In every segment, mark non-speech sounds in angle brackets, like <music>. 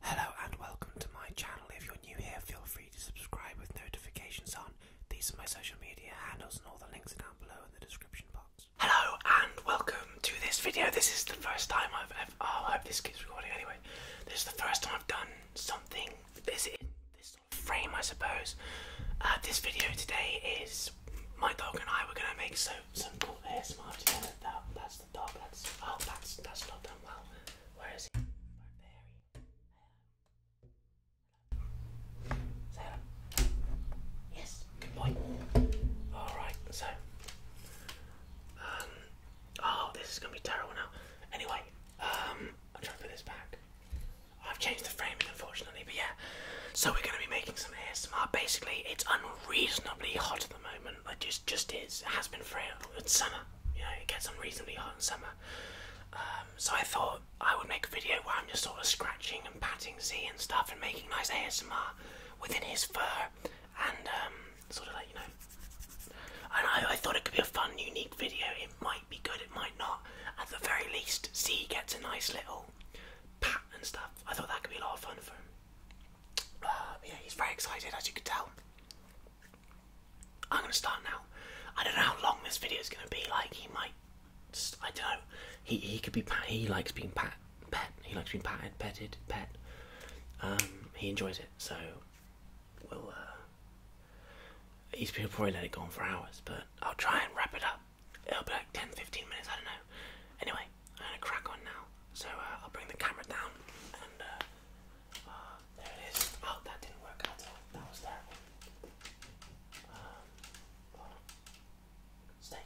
Hello and welcome to my channel. If you're new here, feel free to subscribe with notifications on. These are my social media handles and all the links are down below in the description box. Hello and welcome to this video. This is the first time I've Oh, I hope this keeps recording anyway. This is the first time I've done something. This in this sort of frame, I suppose. Uh, this video today is my dog and I were gonna make so some cool air ASMR together. That, that's that's oh, that's that's not done well. Where is he? yes, good point. All right, so um, oh, this is gonna be terrible now. Anyway, um, I'm trying to put this back. I've changed the framing, unfortunately, but yeah. So we're gonna be making some ASMR. Basically, it's unreasonably hot at the moment statement, but just just is. It has been frail. It's summer. You know, it gets unreasonably hot in summer. Um, so I thought I would make a video where I'm just sort of scratching and patting Z and stuff and making nice ASMR within his fur and um, sort of like, you know. And I thought it could be a fun, unique video. It might be good, it might not. At the very least, Z gets a nice little pat and stuff. I thought that could be a lot of fun for him. <sighs> yeah, he's very excited, as you can tell. I'm gonna start now. I don't know how long this video is gonna be. Like, he might, I don't know. He he could be He likes being pat, pet. He likes being patted, petted, pet. Um, he enjoys it. So, we'll. Uh, he's probably let it go on for hours, but I'll try and wrap it up. It'll be like 10, 15 minutes. I don't know. Anyway, I'm gonna crack on now. So uh, I'll bring the camera down and. Uh, um, there it is. Oh, that didn't work out. That was terrible. Um, Stay.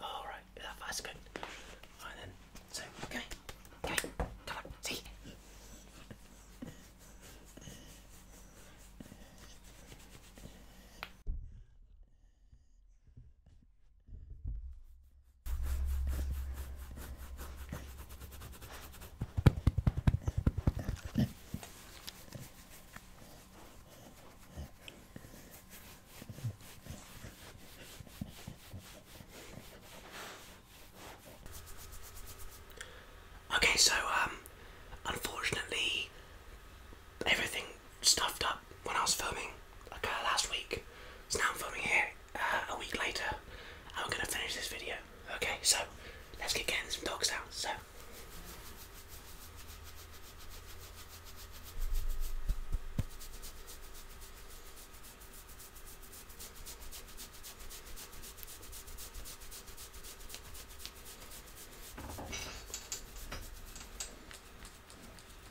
oh, right. Yeah, that's good. All right then. okay. Okay. Come on. See. Okay, so um, unfortunately, everything stuffed up when I was filming like uh, last week. So now I'm filming here uh, a week later. And I'm going to finish this video. Okay, so let's get getting some dogs out. So.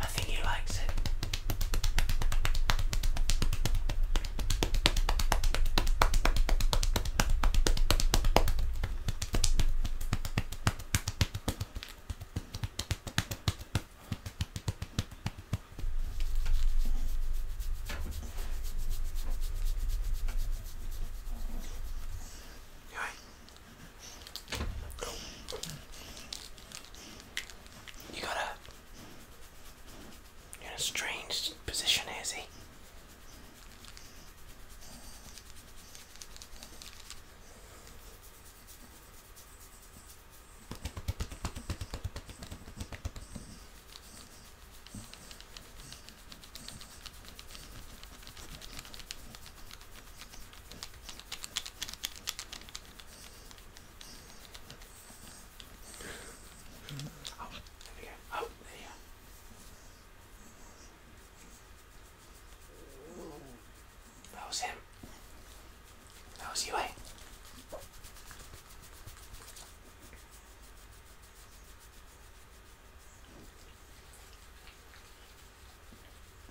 I think he likes it. Right. You are in a strange position is he? Oh, there we go. Oh, there you are. That was him. That was you, eh?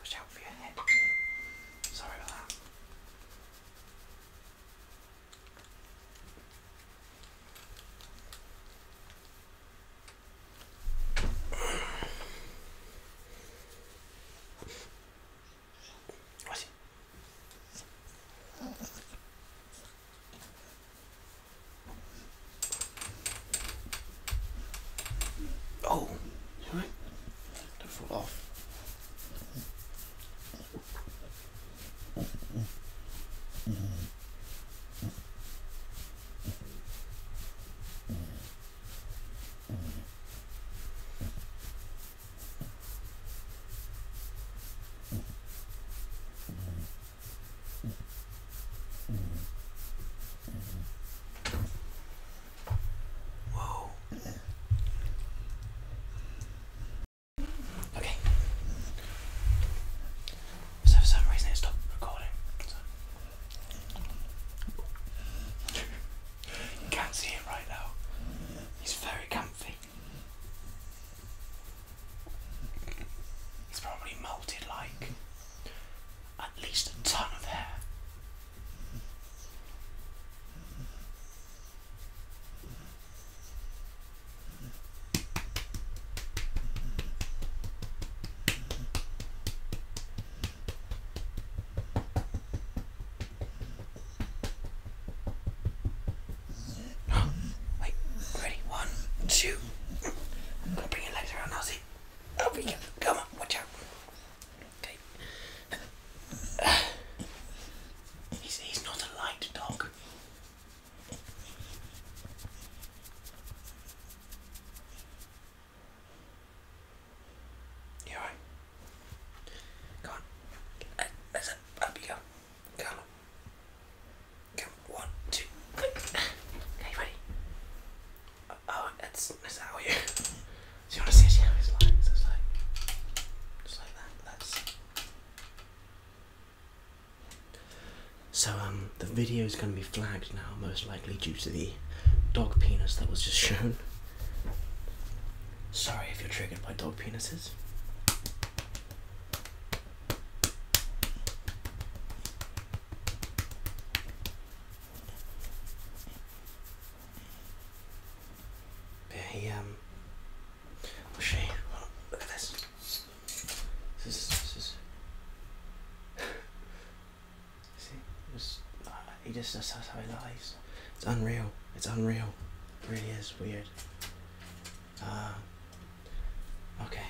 Watch out for your head. Sorry about that. What's it? Oh, you right? Don't fall off. Okay. for some reason it stopped recording. you can't see him right now. He's very comfy. It's probably molted like at least a ton of hair. Wait, ready? One, two. I'm gonna bring your legs around, I'll see. Up we go. Come on, watch out. Okay. he's, he's not a light dog. You alright? Come on. Uh, that's it. Come. Come. One, two, three. Okay, ready? Uh, oh, that's, is that all you? So <laughs> you want to see how his lines? It's like, just like that. That's. So um, the video is going to be flagged now, most likely due to the dog penis that was just <laughs> shown. Sorry if you're triggered by dog penises. Yeah, he um. Oh, look at this. This is this is. <laughs> See, just uh, he just that's how he lies. It's unreal. It's unreal. really is weird. Uh, okay.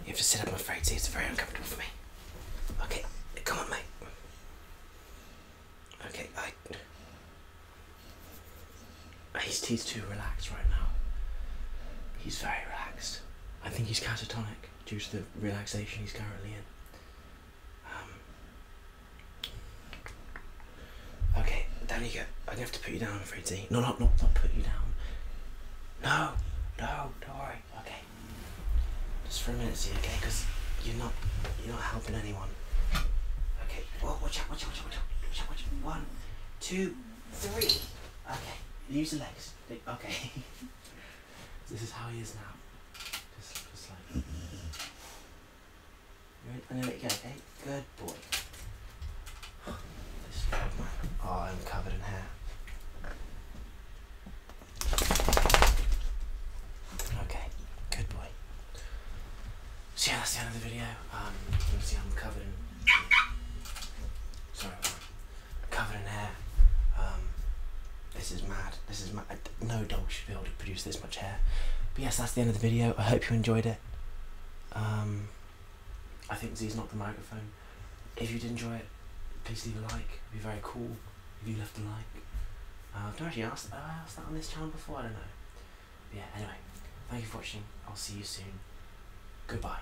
You have to sit up, I'm afraid. See, it's very uncomfortable for me. Okay, come on, mate. Okay, I. He's, he's too relaxed right now. He's very relaxed. I think he's catatonic back due to the relaxation he's currently in. Um, okay, down you go. I'm gonna have to put you down, I'm afraid, Z. No, no, no, not put you down. No, no, don't worry. Okay, just for a minute, Z. Okay, because you're not, you're not helping anyone. Okay. Well, watch out, watch out, watch out, watch out, watch out, watch out. One, two, three. Okay. Use the legs okay, <laughs> this is how he is now. Just, just like. I'm gonna let you go, okay? Good boy. This dog, man. Oh, I'm covered in hair. Okay, good boy. So yeah, that's the end of the video. Um, obviously I'm covered in... Sorry, covered in hair. Um, this is mad. This is mad. No dog should be able to produce this much hair. But yes, that's the end of the video. I hope you enjoyed it. Um, I think Z's not the microphone. If you did enjoy it, please leave a like. It'd be very cool if you left a like. Uh, I've not actually asked, I asked that on this channel before? I don't know. But yeah, anyway, thank you for watching. I'll see you soon. Goodbye.